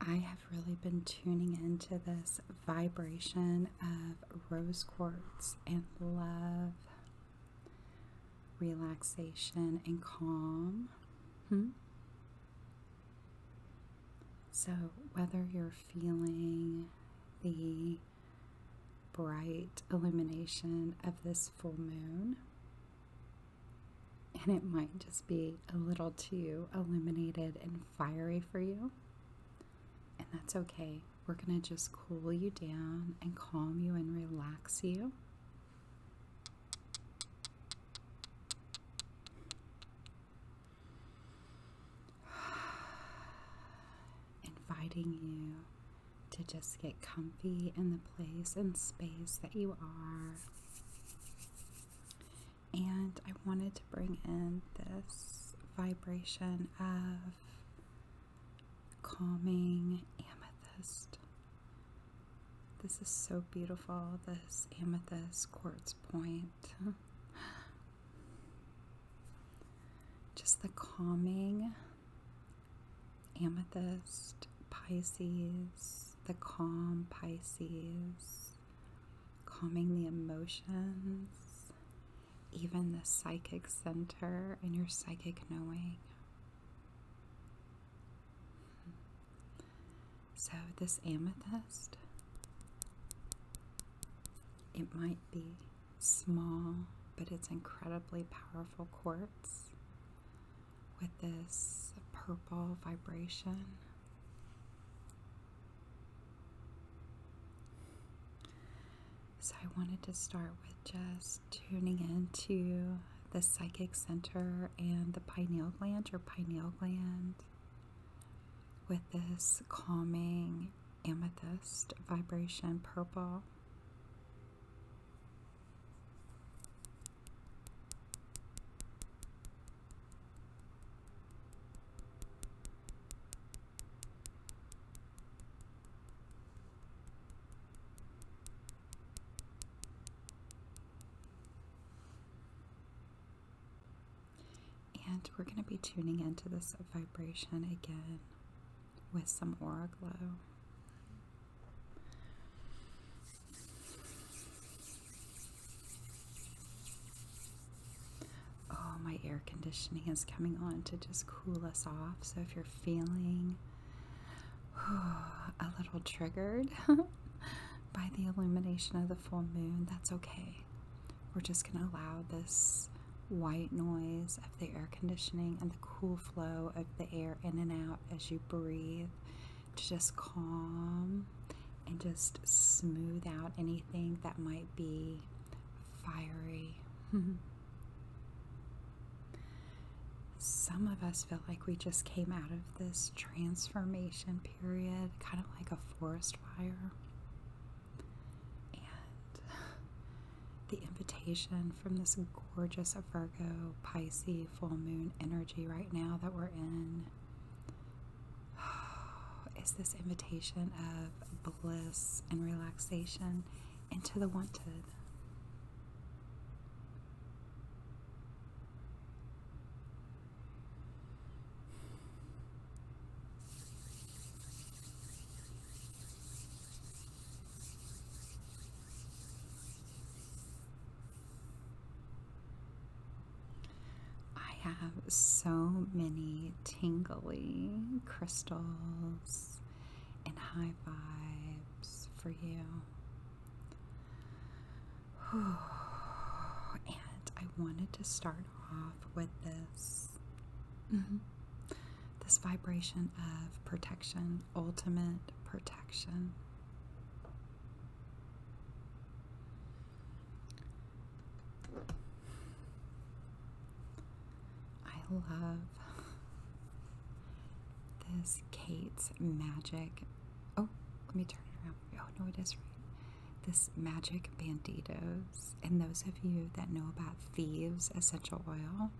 I have really been tuning into this vibration of rose quartz and love, relaxation, and calm. Hmm? So, whether you're feeling the bright illumination of this full moon, and it might just be a little too illuminated and fiery for you. And that's okay. We're going to just cool you down and calm you and relax you. Inviting you to just get comfy in the place and space that you are. And I wanted to bring in this vibration of calming amethyst. This is so beautiful, this amethyst quartz point. Just the calming amethyst, Pisces the calm Pisces, calming the emotions, even the psychic center and your psychic knowing. So, this amethyst, it might be small, but it's incredibly powerful quartz with this purple vibration. So, I wanted to start with just tuning into the psychic center and the pineal gland, or pineal gland, with this calming amethyst vibration purple. And we're going to be tuning into this vibration again with some aura glow. Oh, my air conditioning is coming on to just cool us off. So if you're feeling a little triggered by the illumination of the full moon, that's okay. We're just going to allow this white noise of the air conditioning and the cool flow of the air in and out as you breathe to just calm and just smooth out anything that might be fiery. Some of us feel like we just came out of this transformation period, kind of like a forest fire. And the invitation from this gorgeous Virgo Pisces full moon energy right now that we're in is this invitation of bliss and relaxation into the wanted. I have so many tingly crystals and high vibes for you. And I wanted to start off with this. Mm-hmm. This vibration of protection, ultimate protection. I love this Kate's magic. Oh, let me turn it around. Oh, no, it is right. This magic banditos. And those of you that know about Thieves essential oil,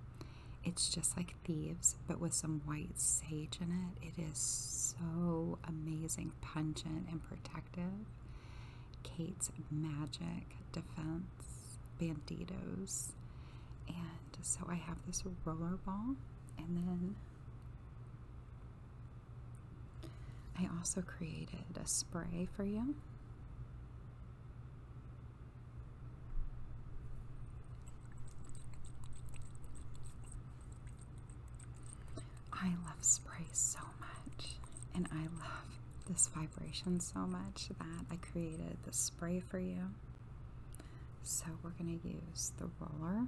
it's just like Thieves, but with some white sage in it. It is so amazing pungent and protective. Kate's magic defense, banditos. And so I have this roller ball, and then I also created a spray for you. I love spray so much, and I love this vibration so much that I created this spray for you. So, we're going to use the roller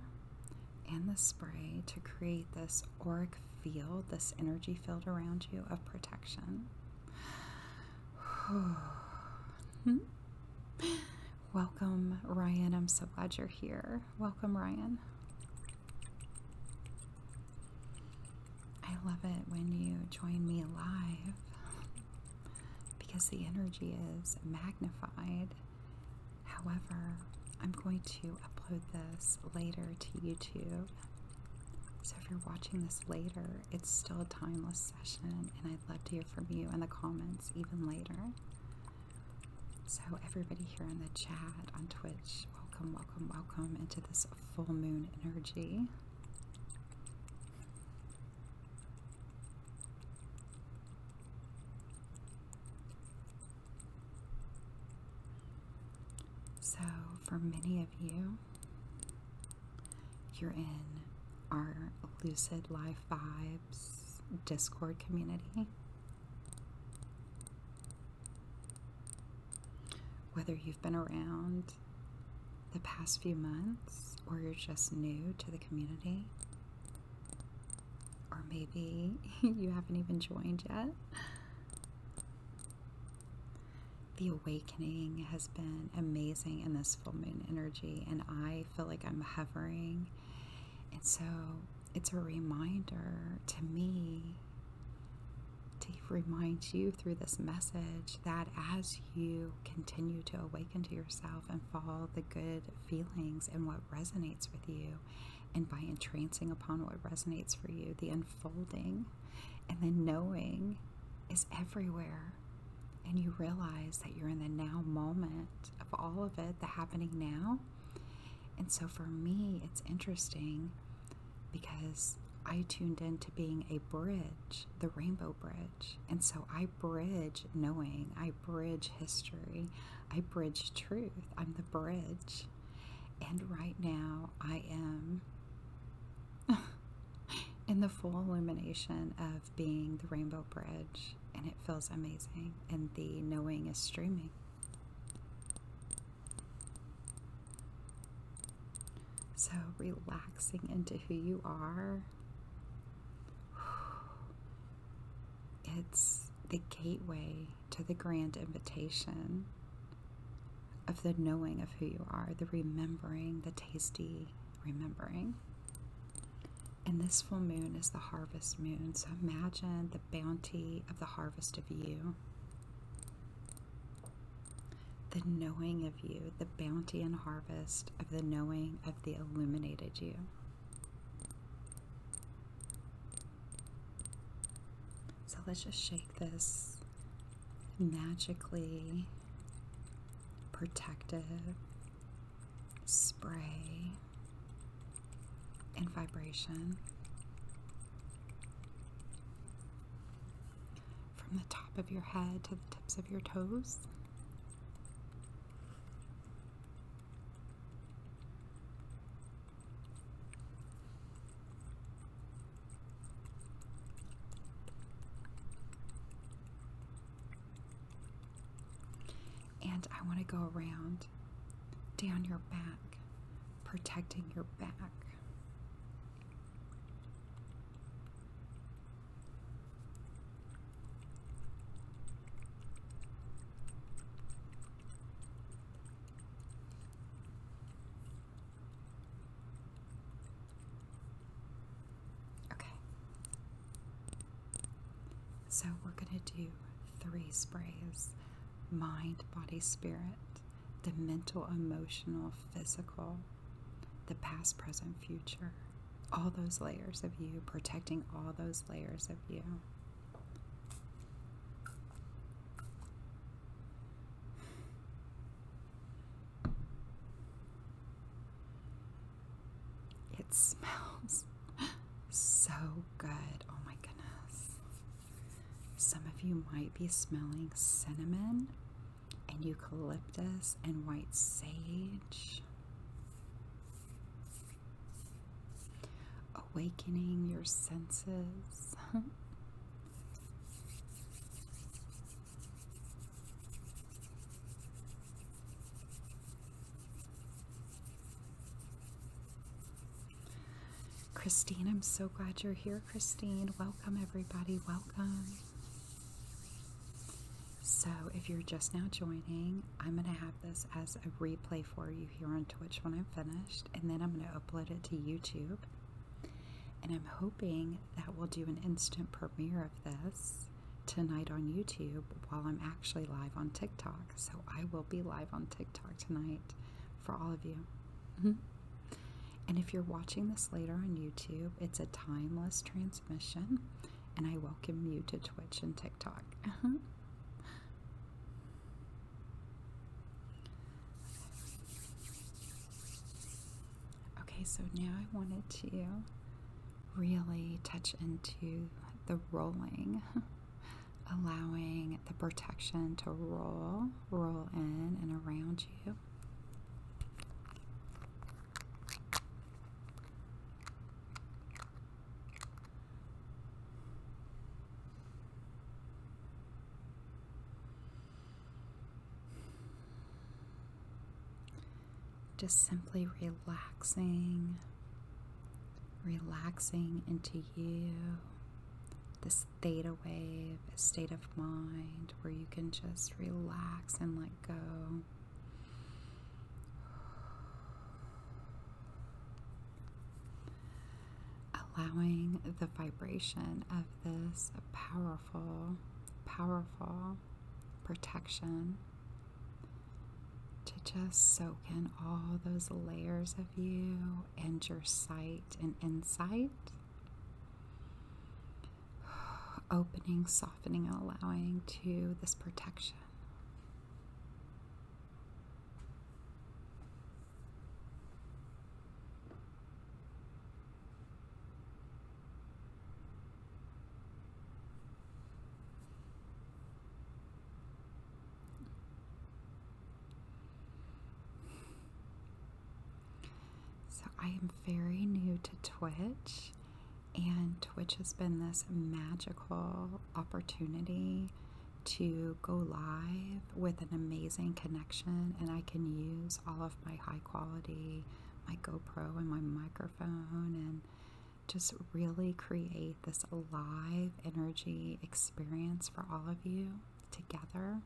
and the spray to create this auric field, this energy field around you of protection. Hmm? Welcome, Ryan. I'm so glad you're here. Welcome, Ryan. I love it when you join me live because the energy is magnified. However, I'm going to upload this later to YouTube. So if you're watching this later, it's still a timeless session, and I'd love to hear from you in the comments even later. So, everybody here in the chat on Twitch, welcome, welcome, welcome into this full moon energy. So, for many of you, you're in our Lucid Life Vibes Discord community. Whether you've been around the past few months or you're just new to the community, or maybe you haven't even joined yet. The awakening has been amazing in this full moon energy, and I feel like I'm hovering. And so it's a reminder to me to remind you through this message that as you continue to awaken to yourself and follow the good feelings and what resonates with you, and by entrancing upon what resonates for you, the unfolding and the knowing is everywhere. And you realize that you're in the now moment of all of it, the happening now, and so for me, it's interesting because I tuned into being a bridge, the rainbow bridge. And so I bridge knowing, I bridge history, I bridge truth. I'm the bridge. And right now, I am in the full illumination of being the rainbow bridge. And it feels amazing. And the knowing is streaming. So, relaxing into who you are, it's the gateway to the grand invitation of the knowing of who you are, the remembering, the tasty remembering. And this full moon is the harvest moon. So imagine bounty of the harvest of you. The knowing of you, the bounty and harvest of the knowing of the illuminated you. So let's just shake this magically protective spray and vibration from the top of your head to the tips of your toes. And I want to go around down your back, protecting your back. Okay. So we're going to do three sprays mind, body, spirit, the mental, emotional, physical, the past, present, future, all those layers of you, protecting all those layers of you. It smells so good. Oh my goodness. Some of you might be smelling cinnamon and eucalyptus and white sage. Awakening your senses. Christine, I'm so glad you're here, Christine. Welcome, everybody. Welcome. So, if you're just now joining, I'm going to have this as a replay for you here on Twitch when I'm finished, and then I'm going to upload it to YouTube. And I'm hoping that we'll do an instant premiere of this tonight on YouTube while I'm actually live on TikTok. So I will be live on TikTok tonight for all of you. Mm-hmm. And if you're watching this later on YouTube, it's a timeless transmission, and I welcome you to Twitch and TikTok. Mm-hmm. okay, so now I wanted to really touch into the rolling allowing the protection to roll, roll in and around you. Just simply relaxing relaxing into you, this theta wave, a state of mind where you can just relax and let go. Allowing the vibration of this powerful, powerful protection to just soak in all those layers of you and your sight and insight. Opening, softening, and allowing to this protection. So, I am very new to Twitch, and Twitch has been this magical opportunity to go live with an amazing connection, and I can use all of my high quality, my GoPro, and my microphone, and just really create this live energy experience for all of you together.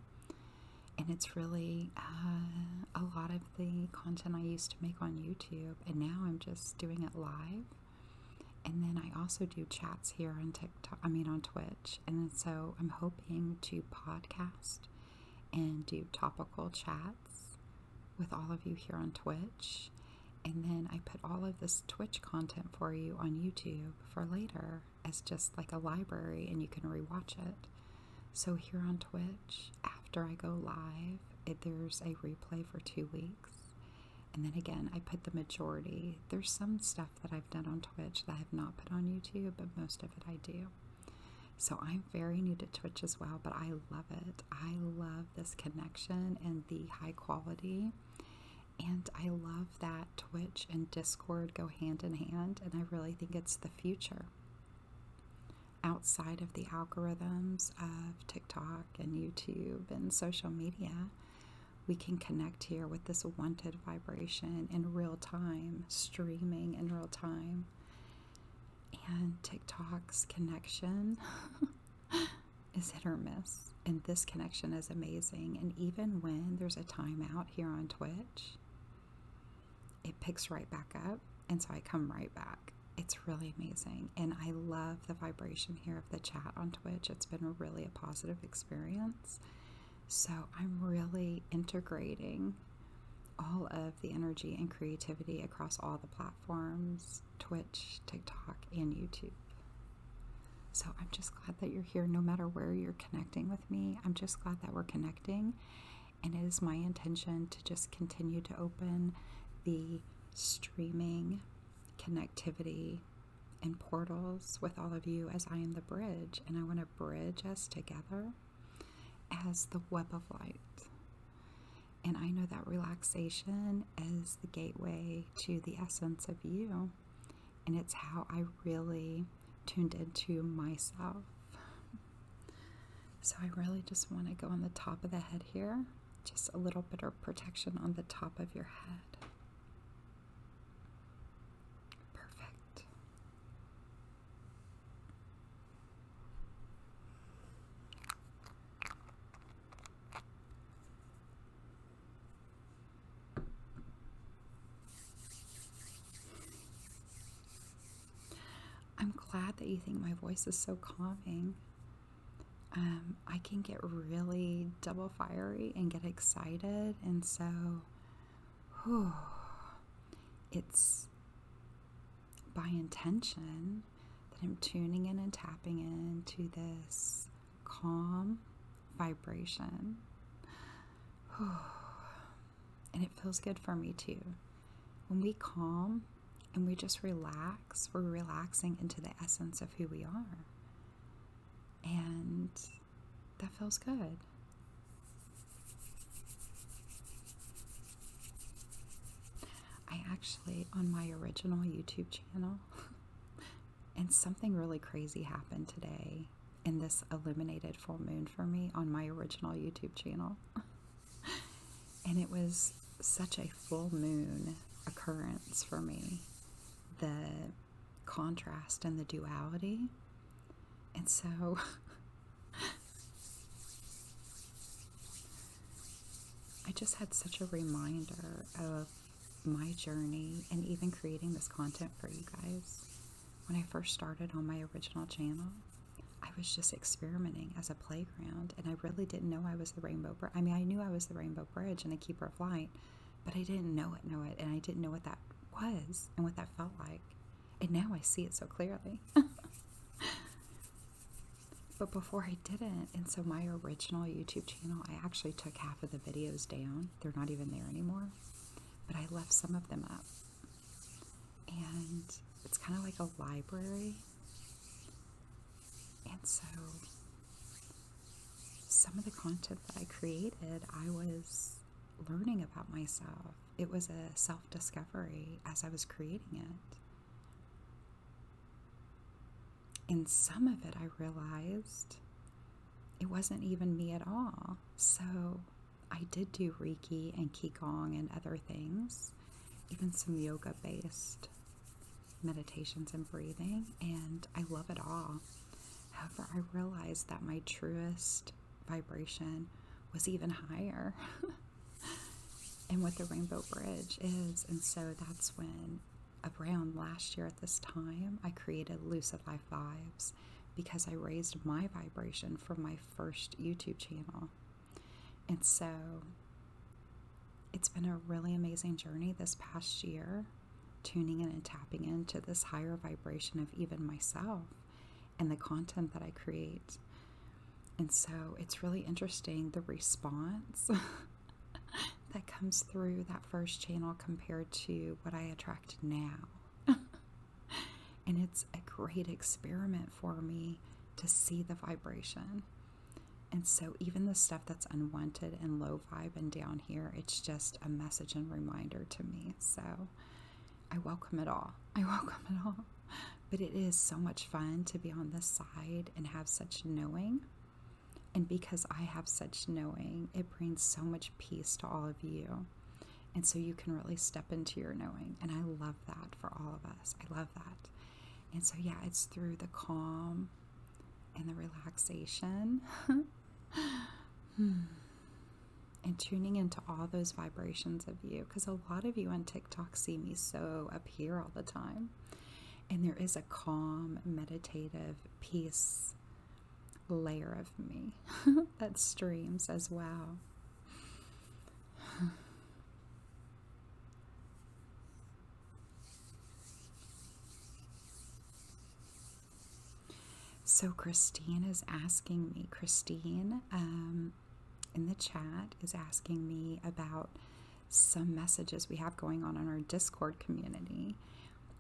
And it's really uh, a lot of the content I used to make on YouTube, and now I'm just doing it live. And then I also do chats here on TikTok, I mean on Twitch. And so I'm hoping to podcast and do topical chats with all of you here on Twitch. And then I put all of this Twitch content for you on YouTube for later as just like a library and you can rewatch it. So here on Twitch, after I go live, it, there's a replay for two weeks. And then again, I put the majority. There's some stuff that I've done on Twitch that I have not put on YouTube, but most of it I do. So I'm very new to Twitch as well, but I love it. I love this connection and the high quality and I love that Twitch and Discord go hand in hand, and I really think it's the future. Outside of the algorithms of TikTok and YouTube and social media, we can connect here with this wanted vibration in real time, streaming in real time. And TikTok's connection is hit or miss, and this connection is amazing. And even when there's a timeout here on Twitch, it picks right back up, and so I come right back. It's really amazing, and I love the vibration here of the chat on Twitch. It's been really a positive experience. So I'm really integrating all of the energy and creativity across all the platforms Twitch, TikTok, and YouTube. So I'm just glad that you're here no matter where you're connecting with me. I'm just glad that we're connecting. And it is my intention to just continue to open the streaming connectivity and portals with all of you as I am the bridge. And I want to bridge us together as the web of light. And I know that relaxation is the gateway to the essence of you and it's how I really tuned into myself. So I really just want to go on the top of the head here, just a little bit of protection on the top of your head. Perfect. I'm glad that you think my voice is so calming. Um, I can get really double fiery and get excited, and so it's by intention that I'm tuning in and tapping into this calm vibration. And it feels good for me too. When we calm and we just relax, we're relaxing into the essence of who we are. And that feels good. I actually, on my original YouTube channel, And something really crazy happened today, and this illuminated full moon for me on my original YouTube channel. and it was such a full moon occurrence for me. The contrast and the duality. And so I just had such a reminder of my journey and even creating this content for you guys. When I first started on my original channel, I was just experimenting as a playground and I really didn't know I was the Rainbow Bridge. I mean, I knew I was the Rainbow Bridge and the Keeper of Light, but I didn't know it, know it, and I didn't know what that was and what that felt like. And now I see it so clearly. but before I didn't, and so my original YouTube channel, I actually took half of the videos down they're not even there anymore. But I left some of them up. And it's kind of like a library. And so some of the content that I created, I was learning about myself. It was a self discovery as I was creating it in some of it, I realized it wasn't even me at all. So I did do Reiki and Qigong and other things, even some yoga based meditations and breathing, and I love it all. However, I realized that my truest vibration was even higher. and what the Rainbow Bridge is. And so that's when around last year at this time, I created Lucid Life Vibes because I raised my vibration from my first YouTube channel. And so it's been a really amazing journey this past year, tuning in and tapping into this higher vibration of even myself and the content that I create. And so it's really interesting the response that comes through that first channel compared to what I attract now. and it's a great experiment for me to see the vibration. And so, even the stuff that's unwanted and low vibe and down here, it's just a message and reminder to me. So, I welcome it all. I welcome it all. But it is so much fun to be on this side and have such knowing and because I have such knowing, it brings so much peace to all of you. And so you can really step into your knowing. And I love that for all of us. I love that. And so, yeah, it's through the calm and the relaxation and tuning into all those vibrations of you. Because a lot of you on TikTok see me so up here all the time. And there is a calm, meditative peace layer of me that streams as well. So, Christine is asking me, Christine um, in the chat is asking me about some messages we have going on in our Discord community.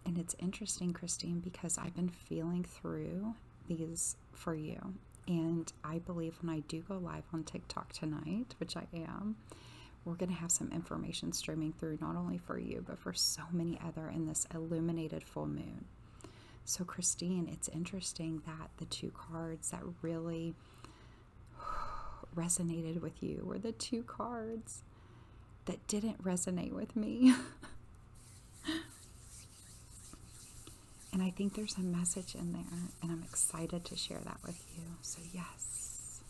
And it's interesting, Christine, because I've been feeling through these for you. And I believe when I do go live on TikTok tonight, which I am, we're going to have some information streaming through not only for you, but for so many other in this illuminated full moon. So, Christine, it's interesting that the two cards that really resonated with you were the two cards that didn't resonate with me. and I think there's a message in there, and I'm excited to share that with you. So, yes,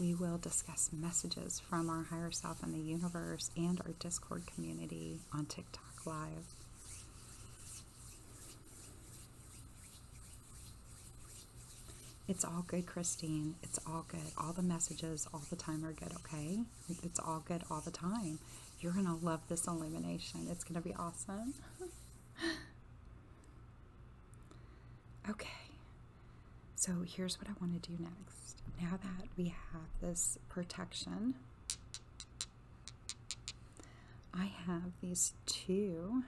we will discuss messages from our higher self in the universe and our Discord community on TikTok Live. It's all good, Christine. It's all good. All the messages all the time are good, okay? It's all good all the time. You're going to love this illumination. It's going to be awesome. okay. So here's what I want to do next. Now that we have this protection, I have these two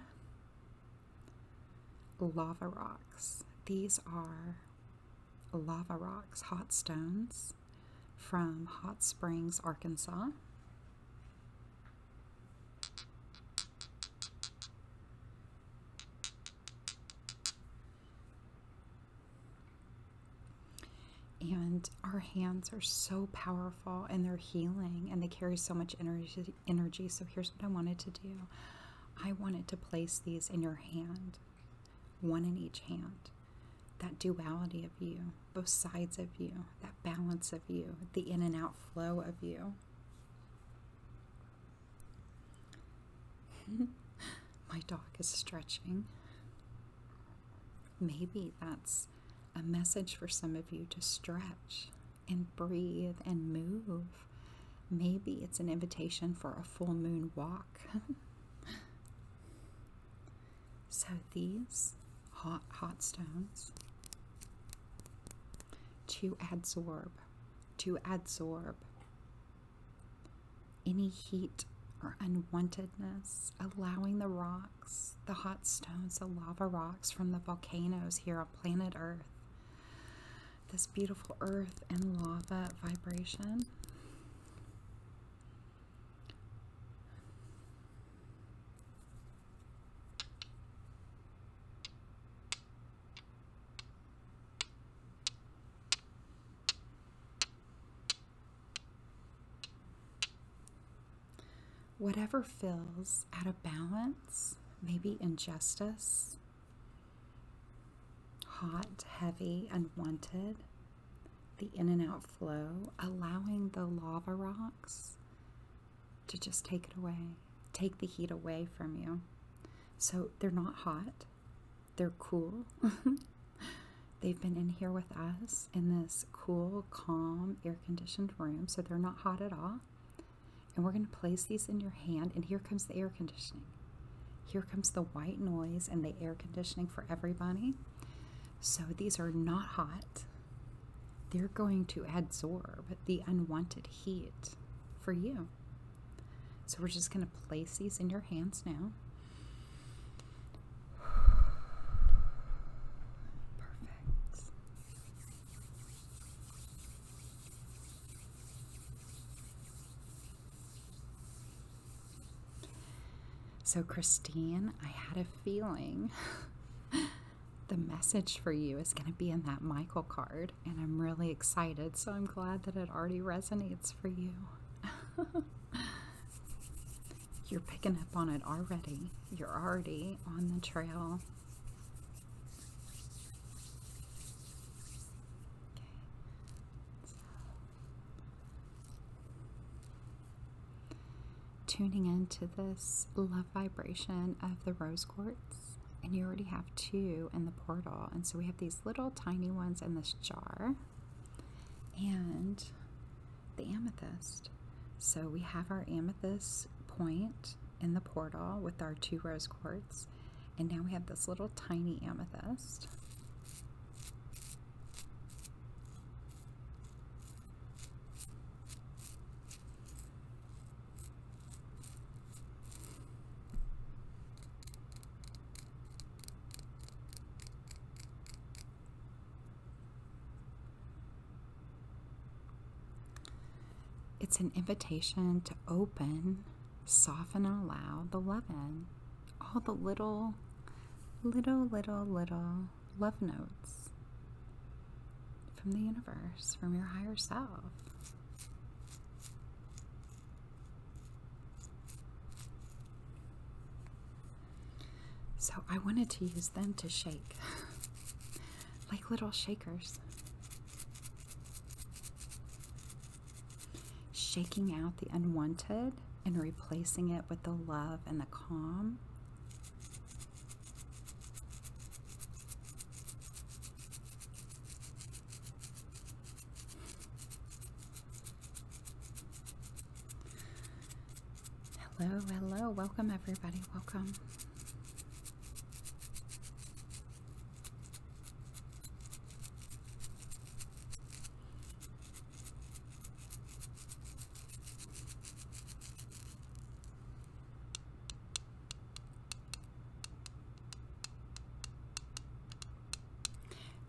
lava rocks. These are lava rocks, hot stones from Hot Springs, Arkansas. And our hands are so powerful and they're healing and they carry so much energy. energy. So, here's what I wanted to do I wanted to place these in your hand one in each hand. That duality of you, both sides of you, that balance of you, the in and out flow of you. My dog is stretching. Maybe that's a message for some of you to stretch and breathe and move Maybe it's an invitation for a full moon walk. so these hot, hot stones to adsorb, to adsorb any heat or unwantedness, allowing the rocks, the hot stones, the lava rocks from the volcanoes here on planet Earth this beautiful earth and lava vibration. Whatever feels out of balance, maybe injustice, hot, heavy, unwanted, the in and out flow, allowing the lava rocks to just take it away, take the heat away from you. So they're not hot, they're cool. They've been in here with us in this cool, calm, air conditioned room, so they're not hot at all. And we're going to place these in your hand, and here comes the air conditioning. Here comes the white noise and the air conditioning for everybody. So these are not hot. They're going to absorb the unwanted heat for you. So we're just going to place these in your hands now. Perfect. So, Christine, I had a feeling the message for you is going to be in that Michael card, and I'm really excited. So, I'm glad that it already resonates for you. You're picking up on it already, you're already on the trail so tuning into this love vibration of the rose quartz and you already have two in the portal and so we have these little tiny ones in this jar and the amethyst so we have our amethyst point in the portal with our two rose quartz and now we have this little tiny amethyst. It's an invitation to open soften and allow the loving, all the little, little, little, little love notes from the universe, from your higher self. So I wanted to use them to shake, like little shakers shaking out the unwanted and replacing it with the love and the calm. Hello, hello, welcome everybody, welcome.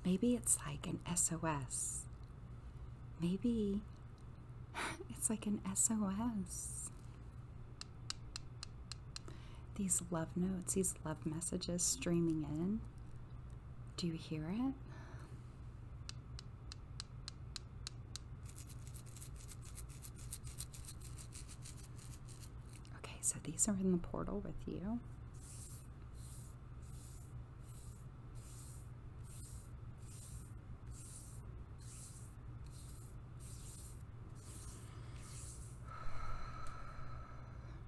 Maybe it's like an SOS. Maybe it's like an SOS. These love notes, these love messages streaming in. Do you hear it? Okay, so these are in the portal with you.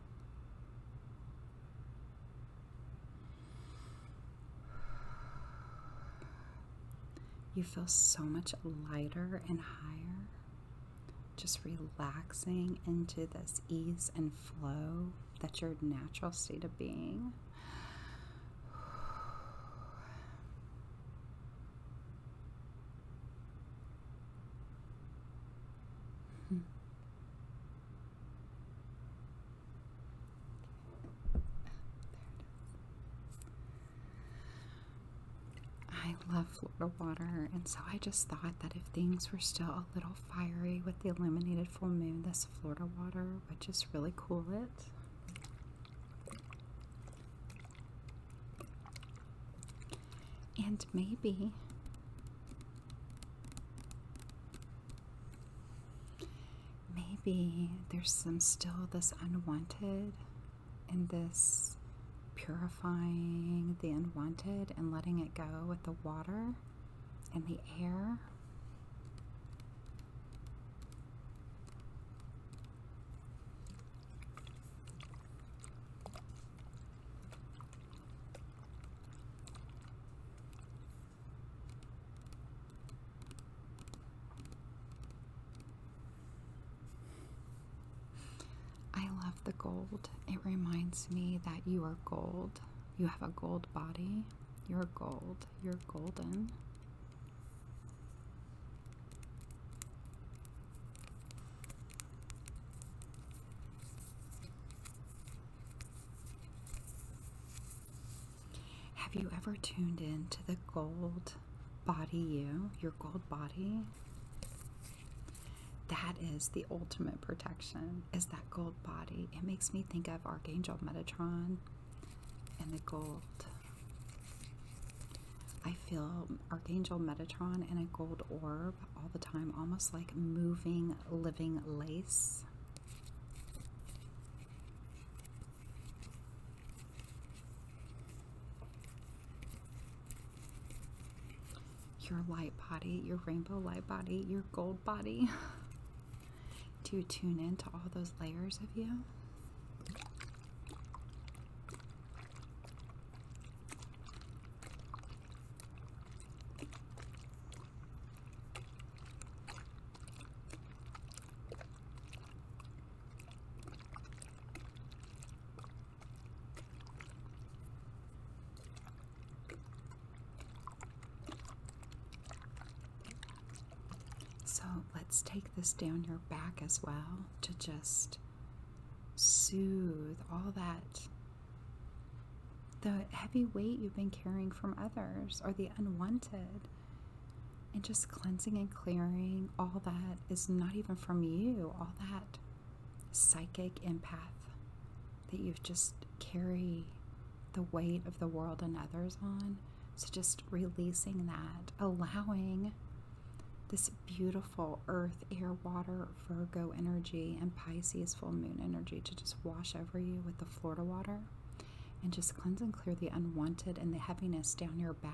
You feel so much lighter and higher, just relaxing into this ease and flow that's your natural state of being. I love Florida water, and so I just thought that if things were still a little fiery with the illuminated full moon, this Florida water would just really cool it. And maybe Maybe there's some still this unwanted in this purifying the unwanted and letting it go with the water and the air. I love the gold. It reminds me that you are gold. You have a gold body. You're gold. You're golden. Have you ever tuned in to the gold body you, your gold body? That is the ultimate protection, is that gold body. It makes me think of Archangel Metatron and the gold. I feel Archangel Metatron and a gold orb all the time, almost like moving, living lace. Your light body, your rainbow light body, your gold body. to tune into all those layers of you. So let's take this down your back as well to just soothe all that the heavy weight you've been carrying from others or the unwanted. And just cleansing and clearing all that is not even from you, all that psychic empath that you've just carry the weight of the world and others on. So just releasing that, allowing this beautiful earth, air, water Virgo energy and Pisces full moon energy to just wash over you with the Florida water and just cleanse and clear the unwanted and the heaviness down your back.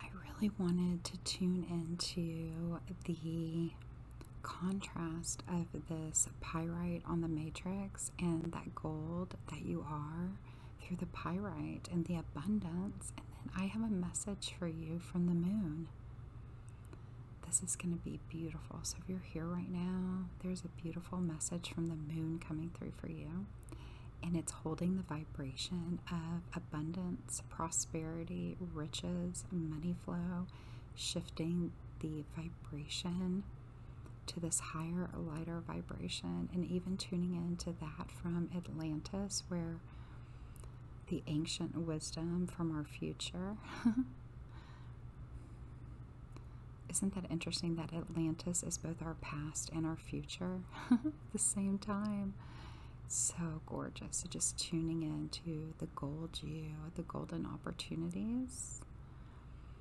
I really wanted to tune into the contrast of this pyrite on the matrix and that gold that you are through the pyrite and the abundance. And then I have a message for you from the moon. This is going to be beautiful. So if you're here right now, there's a beautiful message from the moon coming through for you. And it's holding the vibration of abundance, prosperity, riches, money flow, shifting the vibration to this higher, lighter vibration, and even tuning into that from Atlantis, where the ancient wisdom from our future. Isn't that interesting that Atlantis is both our past and our future at the same time? So gorgeous. So just tuning into the gold you, the golden opportunities.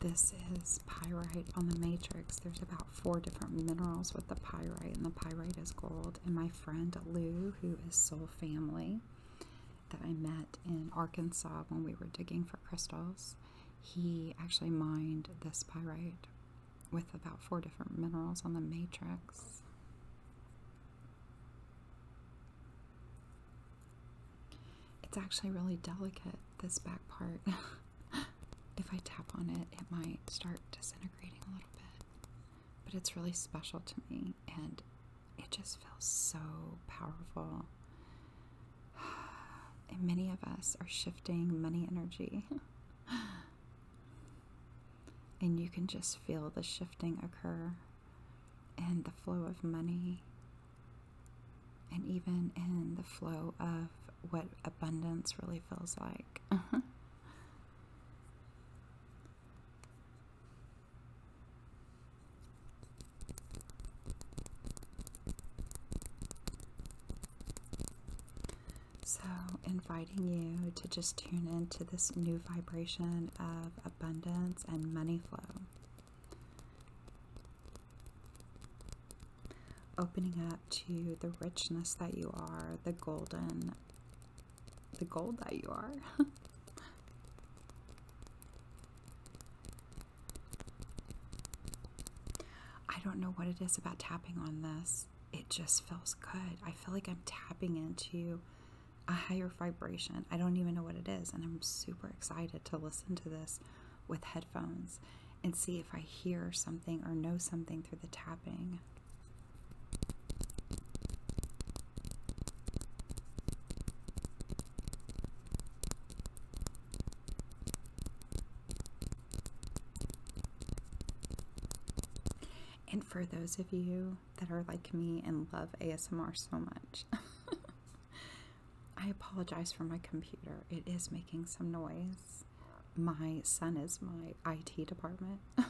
This is pyrite on the matrix. There's about four different minerals with the pyrite, and the pyrite is gold. And my friend Lou, who is Soul Family, that I met in Arkansas when we were digging for crystals, he actually mined this pyrite with about four different minerals on the matrix. It's actually really delicate, this back part. if I tap on it, it might start disintegrating a little bit. But it's really special to me and it just feels so powerful. And many of us are shifting money energy. and you can just feel the shifting occur. And the flow of money, and even in the flow of what abundance really feels like. Uh-huh. So, inviting you to just tune into this new vibration of abundance and money flow. Opening up to the richness that you are, the golden, the gold that you are. I don't know what it is about tapping on this. It just feels good. I feel like I'm tapping into a higher vibration. I don't even know what it is, and I'm super excited to listen to this with headphones and see if I hear something or know something through the tapping. And for those of you that are like me and love ASMR so much. I apologize for my computer. It is making some noise. My son is my IT department.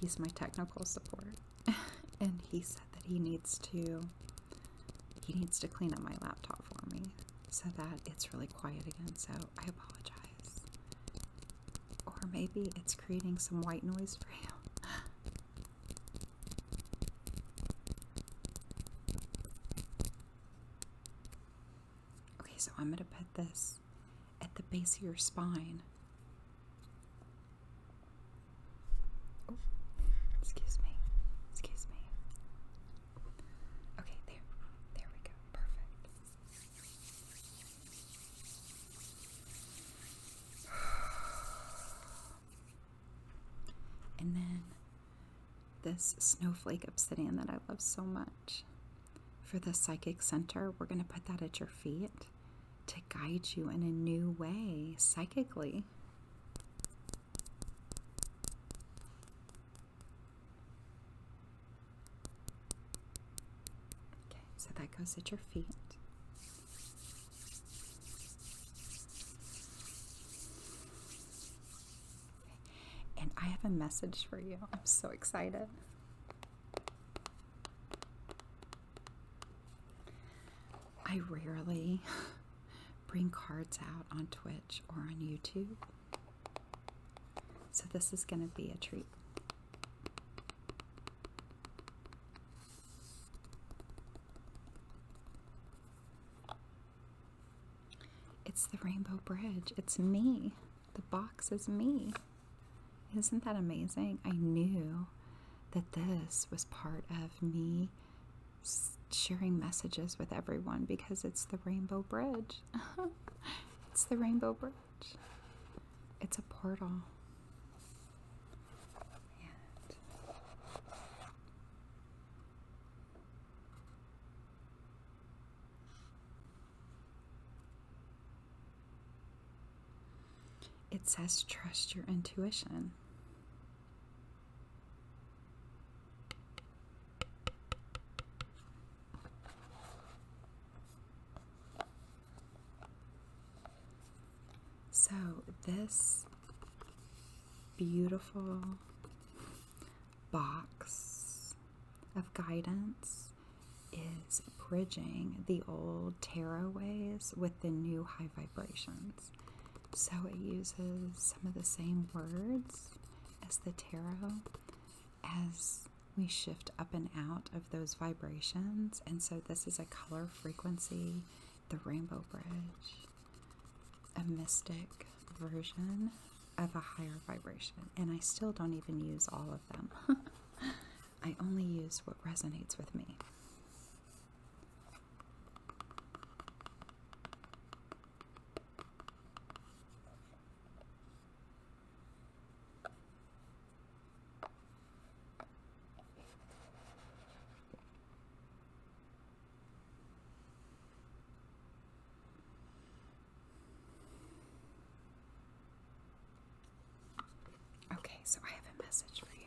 He's my technical support. and he said that he needs to he needs to clean up my laptop for me so that it's really quiet again. So I apologize. Or maybe it's creating some white noise for you. okay, so I'm going to put this at the base of your spine. excuse me. Excuse me. Okay, there. There we go. Perfect. And then this snowflake obsidian that I love so much. For the psychic center, we're going to put that at your feet to guide you in a new way psychically. Okay, so that goes at your feet. And I have a message for you. I'm so excited. I rarely bring cards out on Twitch or on YouTube. So this is going to be a treat. It's the Rainbow Bridge. It's me. The box is me. Isn't that amazing? I knew that this was part of me sharing messages with everyone because it's the Rainbow Bridge. it's the Rainbow Bridge. It's a portal it says trust your intuition. So, this beautiful box of guidance is bridging the old tarot ways with the new high vibrations. So, it uses some of the same words as the tarot as we shift up and out of those vibrations. And so this is a color frequency, the rainbow bridge, a mystic version of a higher vibration. And I still don't even use all of them. I only use what resonates with me. Okay, so I have a message for you.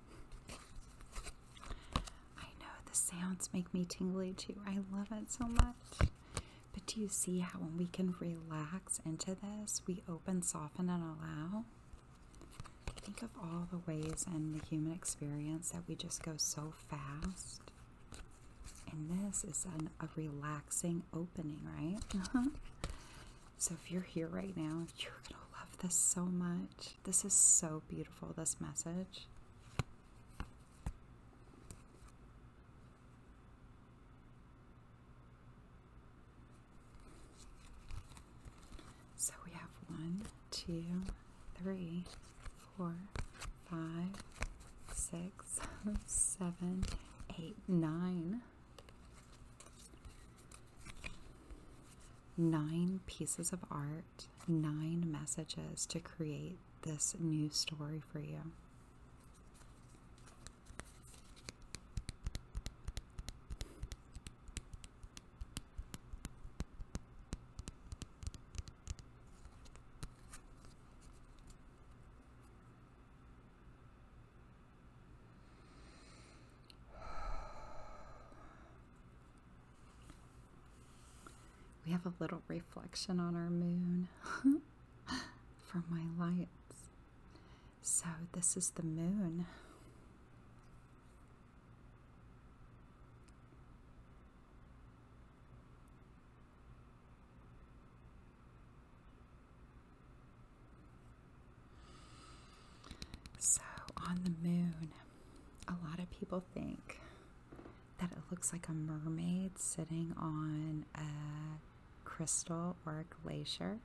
I know the sounds make me tingly too. I love it so much. But do you see how when we can relax into this, we open, soften, and allow? Think of all the ways in the human experience that we just go so fast. And this is a relaxing opening, right? so if you're here right now, you're going to love this so much. This is so beautiful, this message. So we have one, two, three, four, five, six, seven, eight, nine. Nine pieces of art, nine messages to create this new story for you. We have a little reflection on our moon from my lights. So, this is the moon. So, on the moon, a lot of people think that it looks like a mermaid sitting on a crystal or a glacier.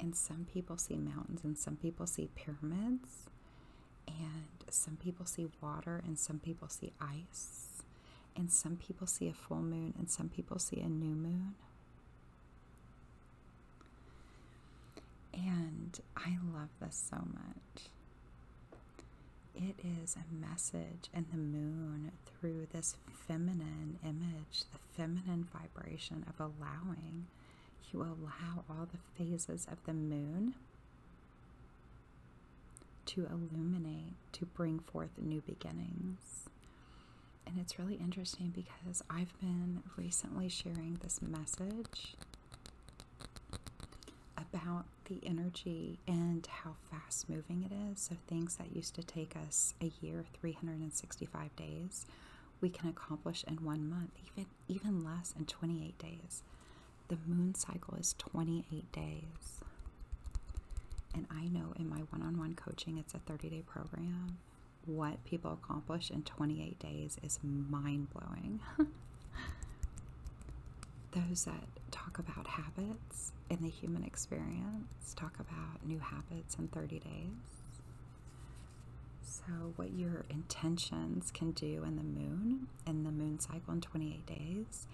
And some people see mountains, and some people see pyramids, and some people see water, and some people see ice, and some people see a full moon, and some people see a new moon. And I love this so much. It is a message, and the moon through this feminine image, the feminine vibration of allowing. You allow all the phases of the moon to illuminate, to bring forth new beginnings and it's really interesting because I've been recently sharing this message about the energy and how fast moving it is. So, things that used to take us a year, 365 days, we can accomplish in one month, even, even less in 28 days. The moon cycle is 28 days. And I know in my one on one coaching, it's a 30 day program what people accomplish in 28 days is mind blowing. Those that talk about habits in the human experience talk about new habits in 30 days. So, what your intentions can do in the moon, in the moon cycle in 28 days.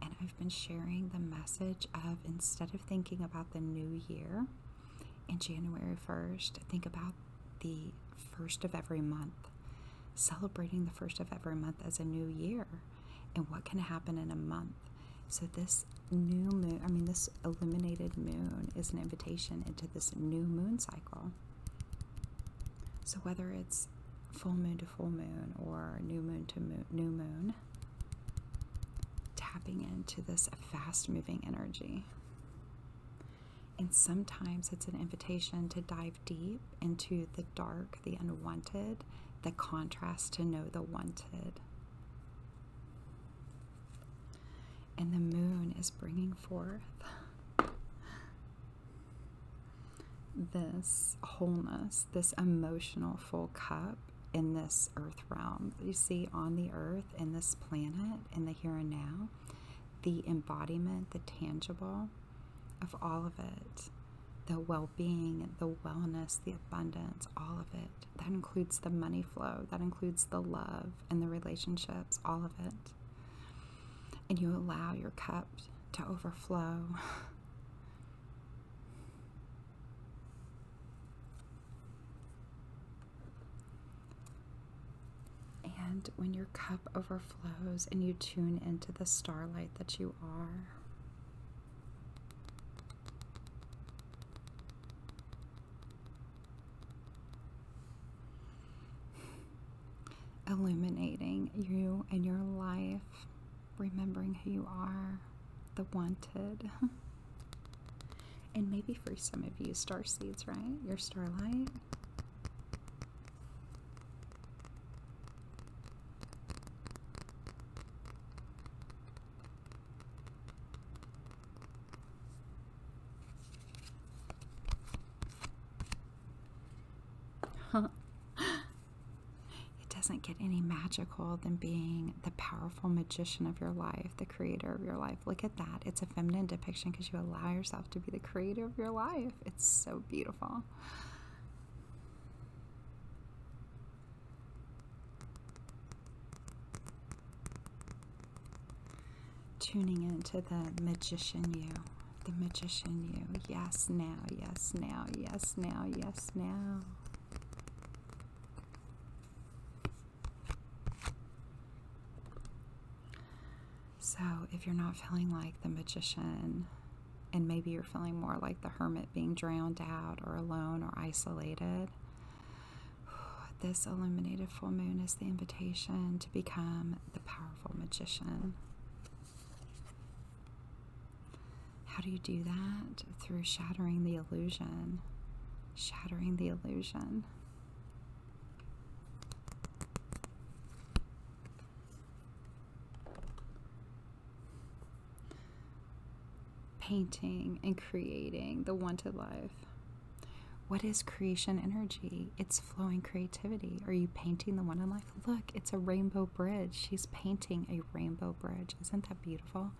And I've been sharing the message of instead of thinking about the new year, and January 1st, think about the first of every month, celebrating the first of every month as a new year and what can happen in a month. So, this new moon, I mean, this illuminated moon is an invitation into this new moon cycle. So, whether it's full moon to full moon or new moon to new moon, tapping into this fast moving energy. And sometimes it's an invitation to dive deep into the dark, the unwanted, the contrast to know the wanted. And the moon is bringing forth this wholeness, this emotional full cup in this earth realm. You see, on the earth, in this planet, in the here and now, the embodiment, the tangible of all of it, the well being, the wellness, the abundance, all of it. That includes the money flow, that includes the love and the relationships, all of it. And you allow your cup to overflow. And when your cup overflows and you tune into the starlight that you are, illuminating you and your life, remembering who you are, the wanted. And maybe for some of you, star seeds, right? Your starlight. it doesn't get any magical than being the powerful magician of your life, the creator of your life. Look at that. It's a feminine depiction because you allow yourself to be the creator of your life. It's so beautiful. Tuning into the magician you. The magician you. Yes, now. Yes, now. Yes, now. Yes, now. So, if you're not feeling like the magician, and maybe you're feeling more like the hermit being drowned out or alone or isolated, this illuminated full moon is the invitation to become the powerful magician. How do you do that? Through shattering the illusion. Shattering the illusion painting and creating the wanted life. What is creation energy? It's flowing creativity. Are you painting the wanted life? Look, it's a rainbow bridge. She's painting a rainbow bridge. Isn't that beautiful?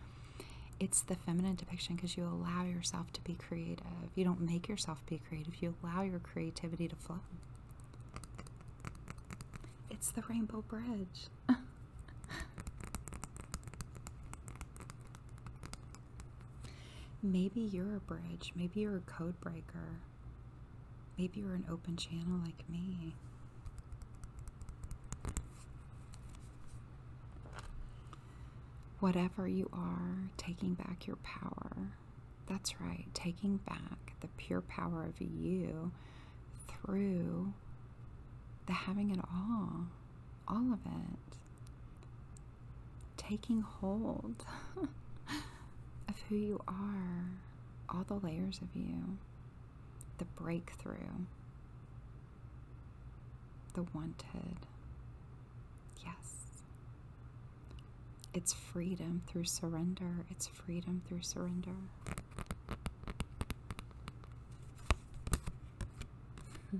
it's the feminine depiction because you allow yourself to be creative. You don't make yourself be creative, you allow your creativity to flow. It's the rainbow bridge. maybe you're a bridge, maybe you're a code breaker, maybe you're an open channel like me. Whatever you are, taking back your power. That's right, taking back the pure power of you through the having it all, all of it. Taking hold of who you are, all the layers of you, the breakthrough, the wanted, Yes. It's freedom through surrender. It's freedom through surrender.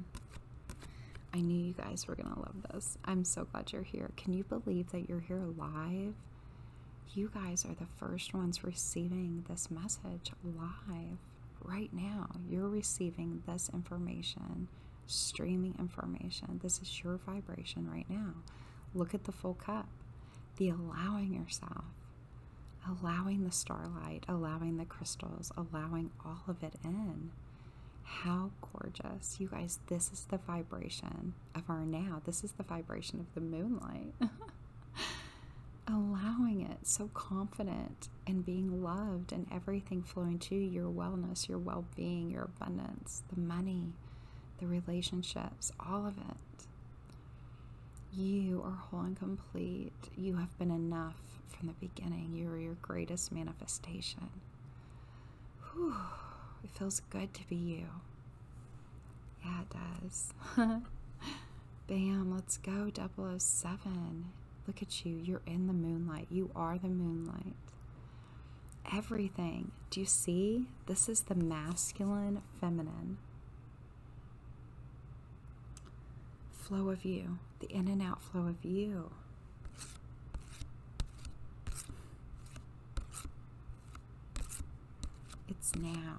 I knew you guys were going to love this. I'm so glad you're here. Can you believe that you're here live? You guys are the first ones receiving this message live right now. You're receiving this information streaming information. This is your vibration right now. Look at the full cup. The allowing yourself, allowing the starlight, allowing the crystals, allowing all of it in. How gorgeous. You guys, this is the vibration of our now. This is the vibration of the moonlight. allowing it, so confident and being loved and everything flowing to you your wellness, your well being, your abundance, the money, the relationships, all of it. You are whole and complete. You have been enough from the beginning. You are your greatest manifestation. it feels good to be you. Yeah, it does. Bam, let's go 007. Look at you. You're in the moonlight. You are the moonlight. Everything. Do you see? This is the masculine feminine flow of you, the in and out flow of you. It's now.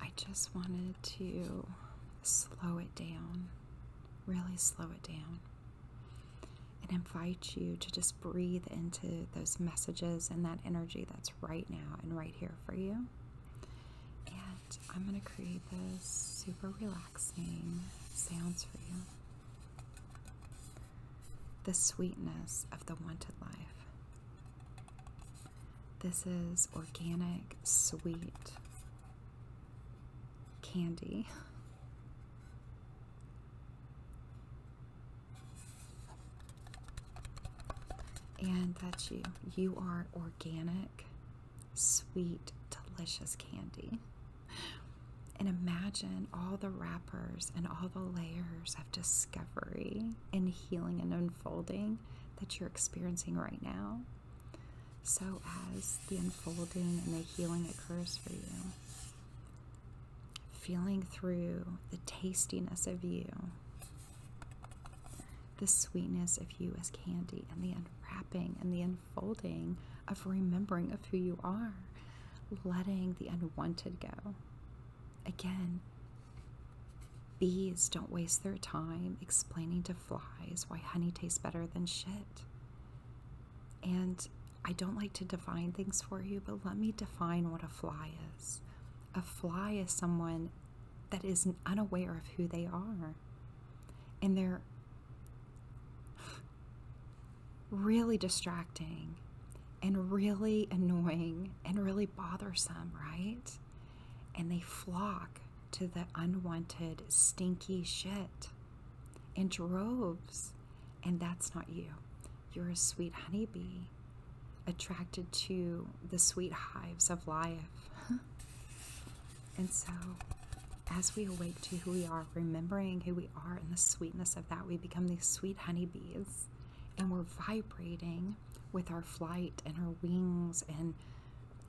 I just wanted to slow it down, really slow it down, and invite you to just breathe into those messages and that energy that's right now and right here for you. And I'm going to create this super relaxing sounds for you. The sweetness of the wanted life. This is organic sweet candy. And that's you. You are organic, sweet, delicious candy. And imagine all the wrappers and all the layers of discovery and healing and unfolding that you're experiencing right now, so as the unfolding and the healing occurs for you. Feeling through the tastiness of you, the sweetness of you as candy, and the unwrapping and the unfolding of remembering of who you are, letting the unwanted go. Again, bees don't waste their time explaining to flies why honey tastes better than shit. And I don't like to define things for you, but let me define what a fly is. A fly is someone that is unaware of who they are. And they're really distracting and really annoying and really bothersome, right? and they flock to the unwanted, stinky shit in droves. And that's not you. You're a sweet honeybee attracted to the sweet hives of life. and so, as we awake to who we are, remembering who we are and the sweetness of that, we become these sweet honeybees and we're vibrating with our flight and our wings and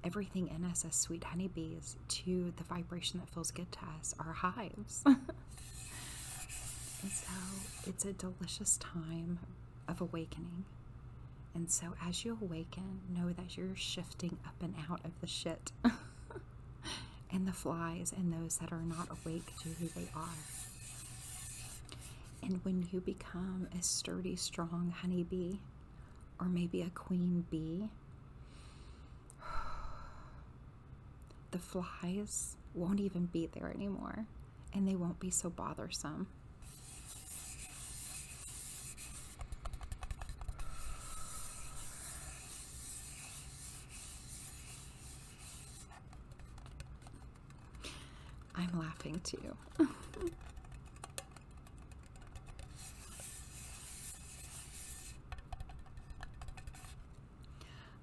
everything in us as sweet honeybees to the vibration that feels good to us, our hives. and so it's a delicious time of awakening. And so as you awaken, know that you're shifting up and out of the shit and the flies and those that are not awake to who they are. And when you become a sturdy, strong honeybee, or maybe a queen bee, the flies won't even be there anymore and they won't be so bothersome. I'm laughing too.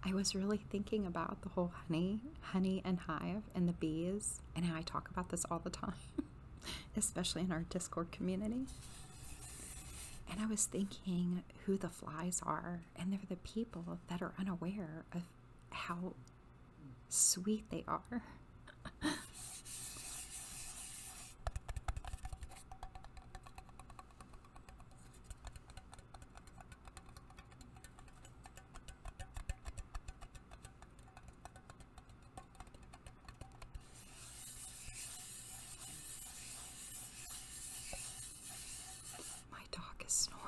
I was really thinking about the whole honey, honey and hive and the bees, and how I talk about this all the time, especially in our Discord community. And I was thinking who the flies are, and they're the people that are unaware of how sweet they are. My dog is snoring.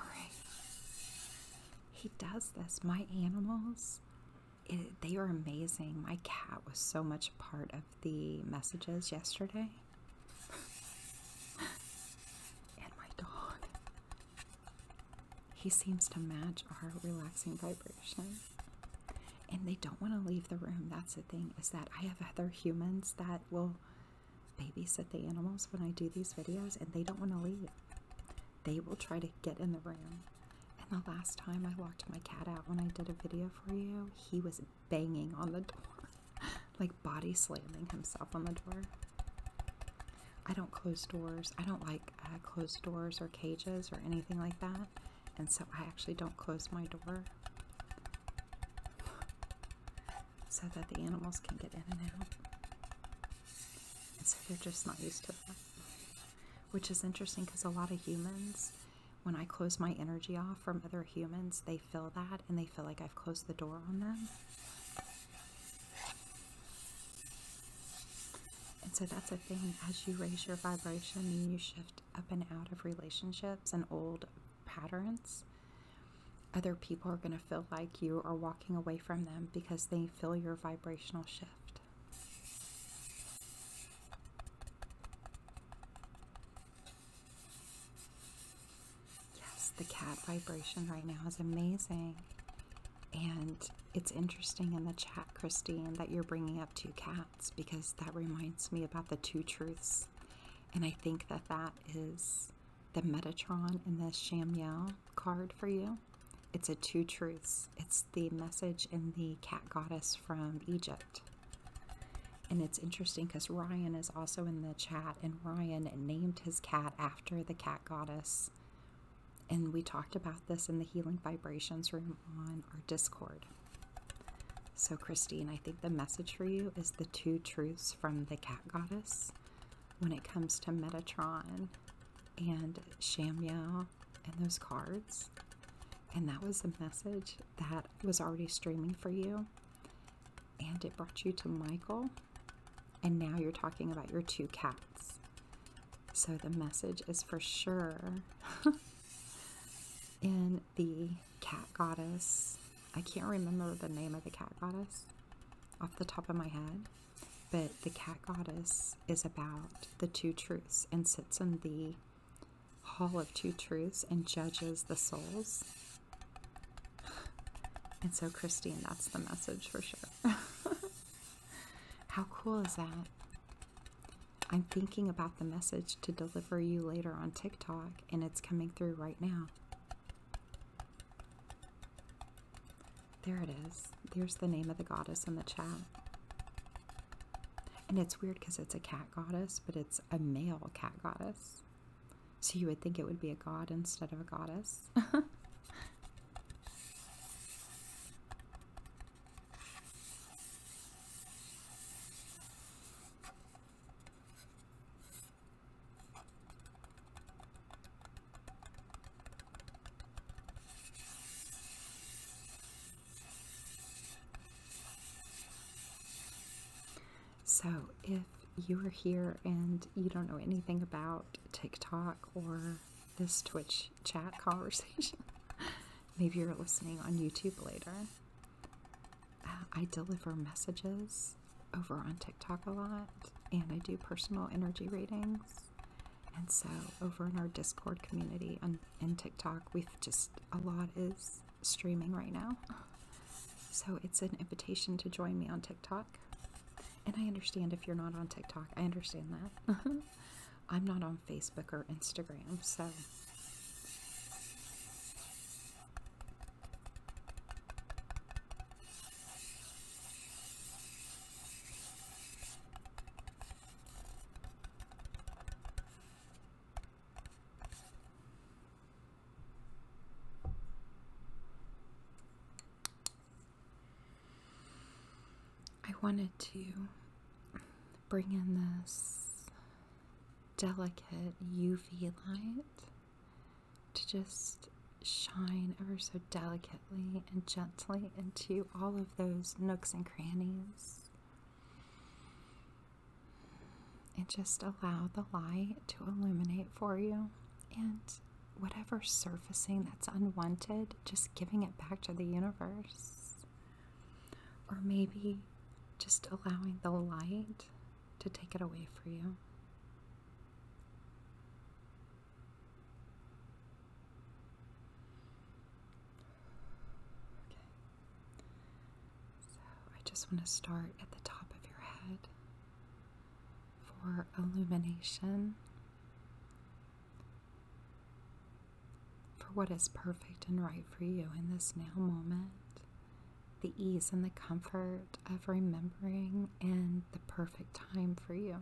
He does this. My animals, they are amazing. My cat was so much part of the messages yesterday. and my dog. He seems to match our relaxing vibration. And they don't want to leave the room. That's the thing, is that I have other humans that will babysit the animals when I do these videos and they don't want to leave they will try to get in the room. And the last time I locked my cat out when I did a video for you, he was banging on the door, like body slamming himself on the door. I don't close doors. I don't like uh, closed doors or cages or anything like that. And so I actually don't close my door so that the animals can get in and out so they're just not used to that. Which is interesting because a lot of humans, when I close my energy off from other humans, they feel that and they feel like I've closed the door on them. And so that's a thing. As you raise your vibration and you shift up and out of relationships and old patterns, other people are going to feel like you are walking away from them because they feel your vibrational shift. Yes, the cat vibration right now is amazing. And it's interesting in the chat, Christine, that you're bringing up two cats because that reminds me about the two truths. And I think that that is the Metatron and the Shamiel card for you. It's a two truths. It's the message in the cat goddess from Egypt. And it's interesting because Ryan is also in the chat, and Ryan named his cat after the cat goddess. And we talked about this in the Healing Vibrations room on our Discord. So, Christine, I think the message for you is the two truths from the cat goddess when it comes to Metatron and Shamya and those cards. And that was the message that was already streaming for you. And it brought you to Michael. And now you're talking about your two cats. So the message is for sure in the cat goddess. I can't remember the name of the cat goddess off the top of my head. But the cat goddess is about the two truths and sits in the hall of two truths and judges the souls. And so, Christine, that's the message for sure. How cool is that? I'm thinking about the message to deliver you later on TikTok, and it's coming through right now. There it is. There's the name of the goddess in the chat. And it's weird because it's a cat goddess, but it's a male cat goddess. So you would think it would be a god instead of a goddess. So, if you are here and you don't know anything about TikTok or this Twitch chat conversation, maybe you're listening on YouTube later. Uh, I deliver messages over on TikTok a lot, and I do personal energy readings. And so, over in our Discord community and in TikTok, we've just a lot is streaming right now. So, it's an invitation to join me on TikTok. And I understand if you're not on TikTok, I understand that. I'm not on Facebook or Instagram, so. I wanted to bring in this delicate UV light to just shine ever so delicately and gently into all of those nooks and crannies. And just allow the light to illuminate for you. And whatever surfacing that's unwanted, just giving it back to the universe. Or maybe just allowing the light to take it away for you. Okay. So I just want to start at the top of your head for illumination. For what is perfect and right for you in this now moment, the ease and the comfort of remembering, and the perfect time for you.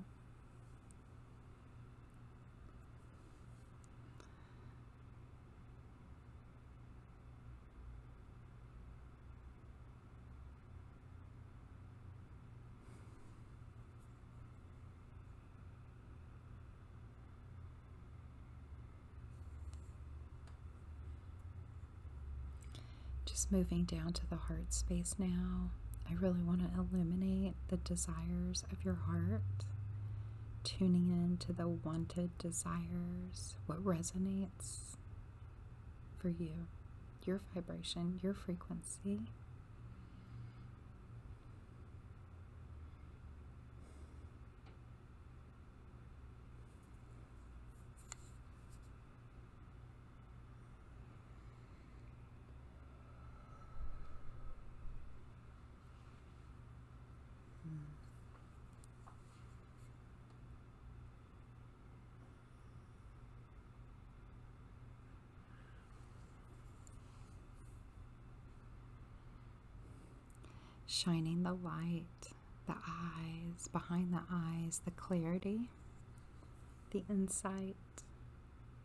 Just moving down to the heart space now. I really want to illuminate the desires of your heart, tuning in to the wanted desires, what resonates for you, your vibration, your frequency. Shining the light, the eyes, behind the eyes, the clarity, the insight,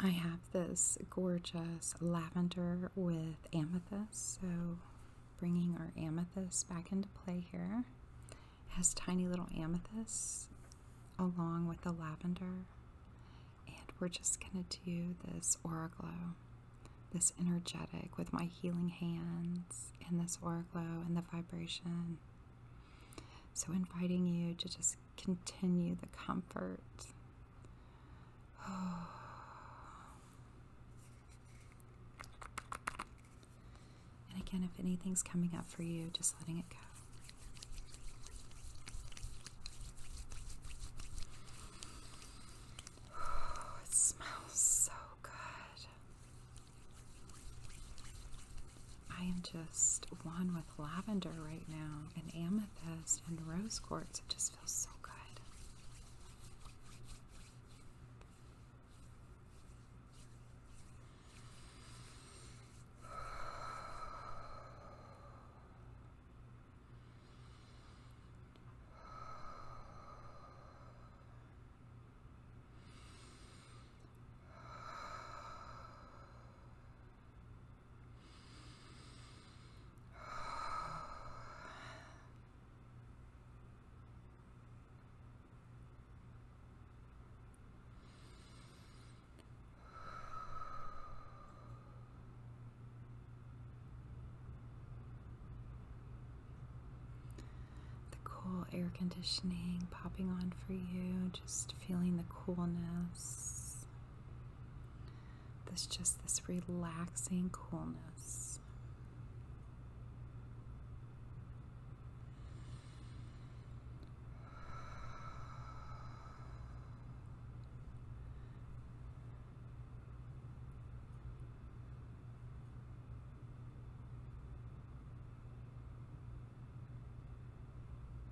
I have this gorgeous lavender with amethyst, so bringing our amethyst back into play here. has tiny little amethysts along with the lavender, and we're just going to do this aura glow, this energetic with my healing hands, and this aura glow and the vibration. So, inviting you to just continue the comfort And again, if anything's coming up for you, just letting it go. It smells so good. I am just one with lavender right now and amethyst and rose quartz. It just feels so good. The cool air conditioning popping on for you, just feeling the coolness. This just this relaxing coolness.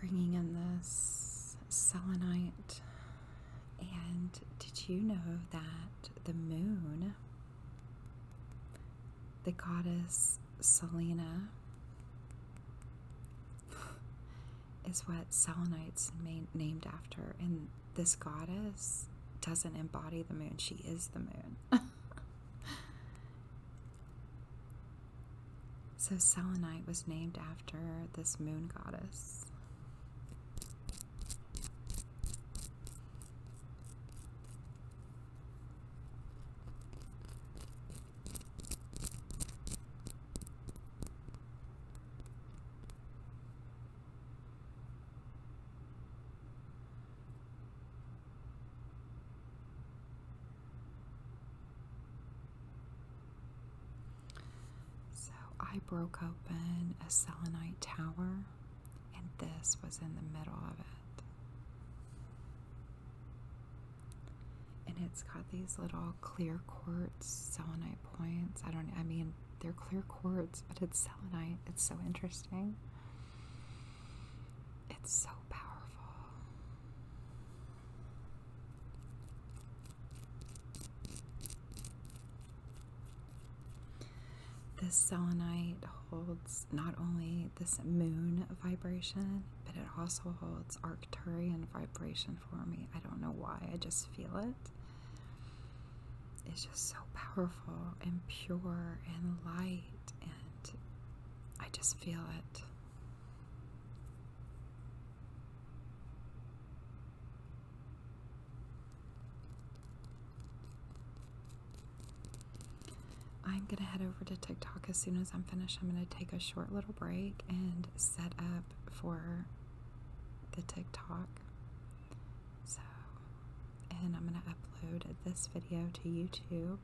Bringing in the selenite, and did you know that the moon the goddess Selena is what Selenites named after, and this goddess doesn't embody the moon; she is the moon. so Selenite was named after this moon goddess. So I broke open a selenite tower and this was in the middle of it. And it's got these little clear quartz selenite points. I don't, I mean, they're clear quartz, but it's selenite. It's so interesting. It's so powerful. This selenite holds not only this moon vibration, but it also holds Arcturian vibration for me. I don't know why, I just feel it. It's just so powerful and pure and light, and I just feel it. I'm going to head over to TikTok as soon as I'm finished. I'm going to take a short little break and set up for the TikTok. So, and I'm going to upload this video to YouTube.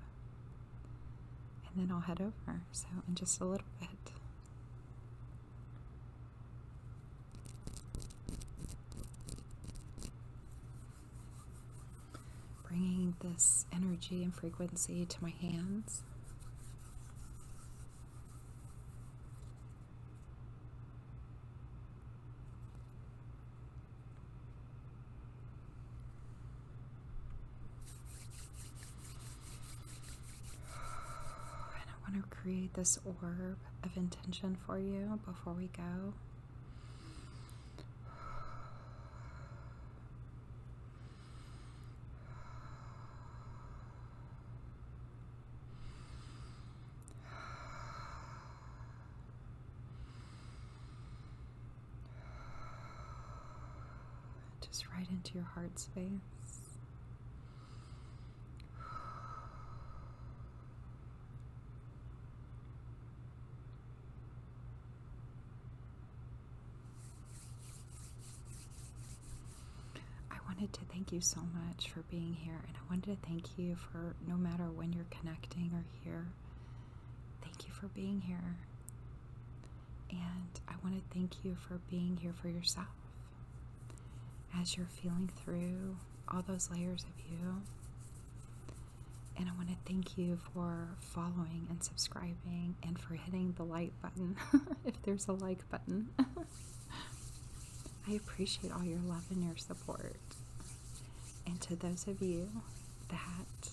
And then I'll head over. So, in just a little bit. Bringing this energy and frequency to my hands. And I want to create this orb of intention for you before we go. Just right into your heart space. I wanted to thank you so much for being here, and I wanted to thank you for no matter when you're connecting or here, thank you for being here. And I want to thank you for being here for yourself as you're feeling through all those layers of you. And I want to thank you for following and subscribing and for hitting the like button if there's a like button. I appreciate all your love and your support. And to those of you that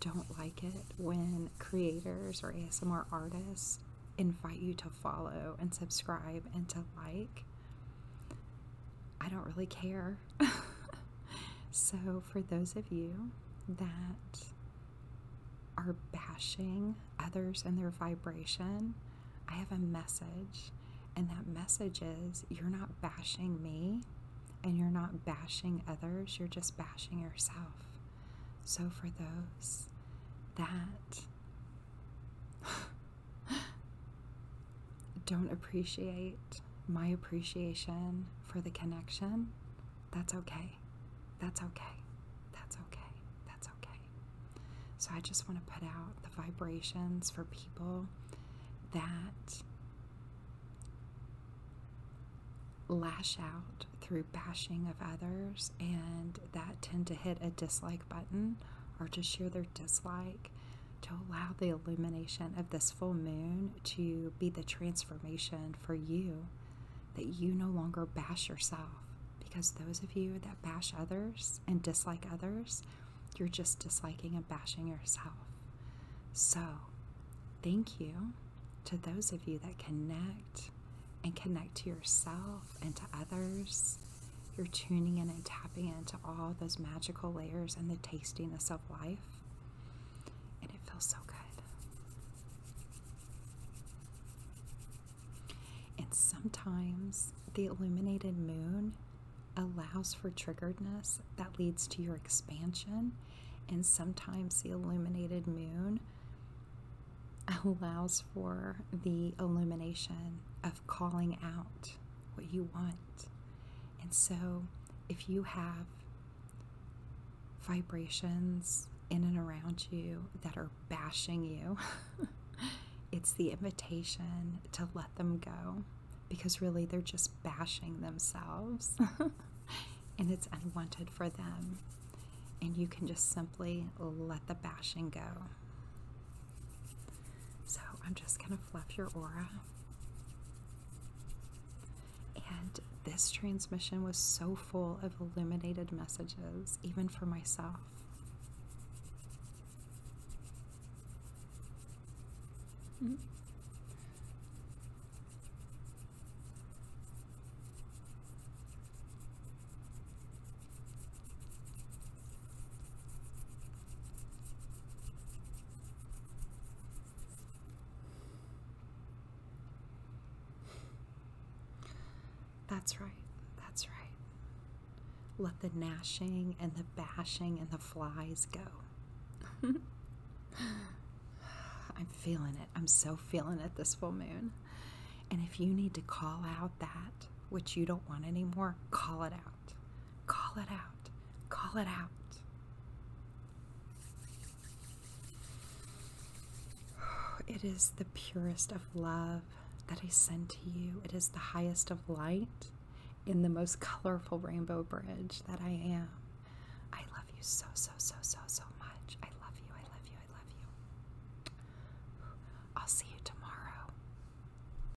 don't like it when creators or ASMR artists invite you to follow and subscribe and to like, I don't really care. so, for those of you that are bashing others and their vibration, I have a message. And that message is you're not bashing me and you're not bashing others, you're just bashing yourself. So, for those that don't appreciate my appreciation for the connection, that's okay. That's okay. That's okay. That's okay. So I just want to put out the vibrations for people that lash out through bashing of others and that tend to hit a dislike button or to share their dislike to allow the illumination of this full moon to be the transformation for you that you no longer bash yourself because those of you that bash others and dislike others you're just disliking and bashing yourself so thank you to those of you that connect and connect to yourself and to others you're tuning in and tapping into all those magical layers and the tastiness of life. And it feels so good. And sometimes the illuminated moon allows for triggeredness that leads to your expansion. And sometimes the illuminated moon allows for the illumination of calling out what you want. And so, if you have vibrations in and around you that are bashing you, it's the invitation to let them go because really they're just bashing themselves and it's unwanted for them. And you can just simply let the bashing go. So I'm just going to fluff your aura. And this transmission was so full of illuminated messages, even for myself. Mm-hmm. That's right. That's right. Let the gnashing and the bashing and the flies go. I'm feeling it. I'm so feeling it this full moon. And if you need to call out that which you don't want anymore, call it out. Call it out. Call it out. It is the purest of love that I send to you. It is the highest of light in the most colorful rainbow bridge that I am. I love you so, so, so, so, so much. I love you. I love you. I love you. I'll see you tomorrow.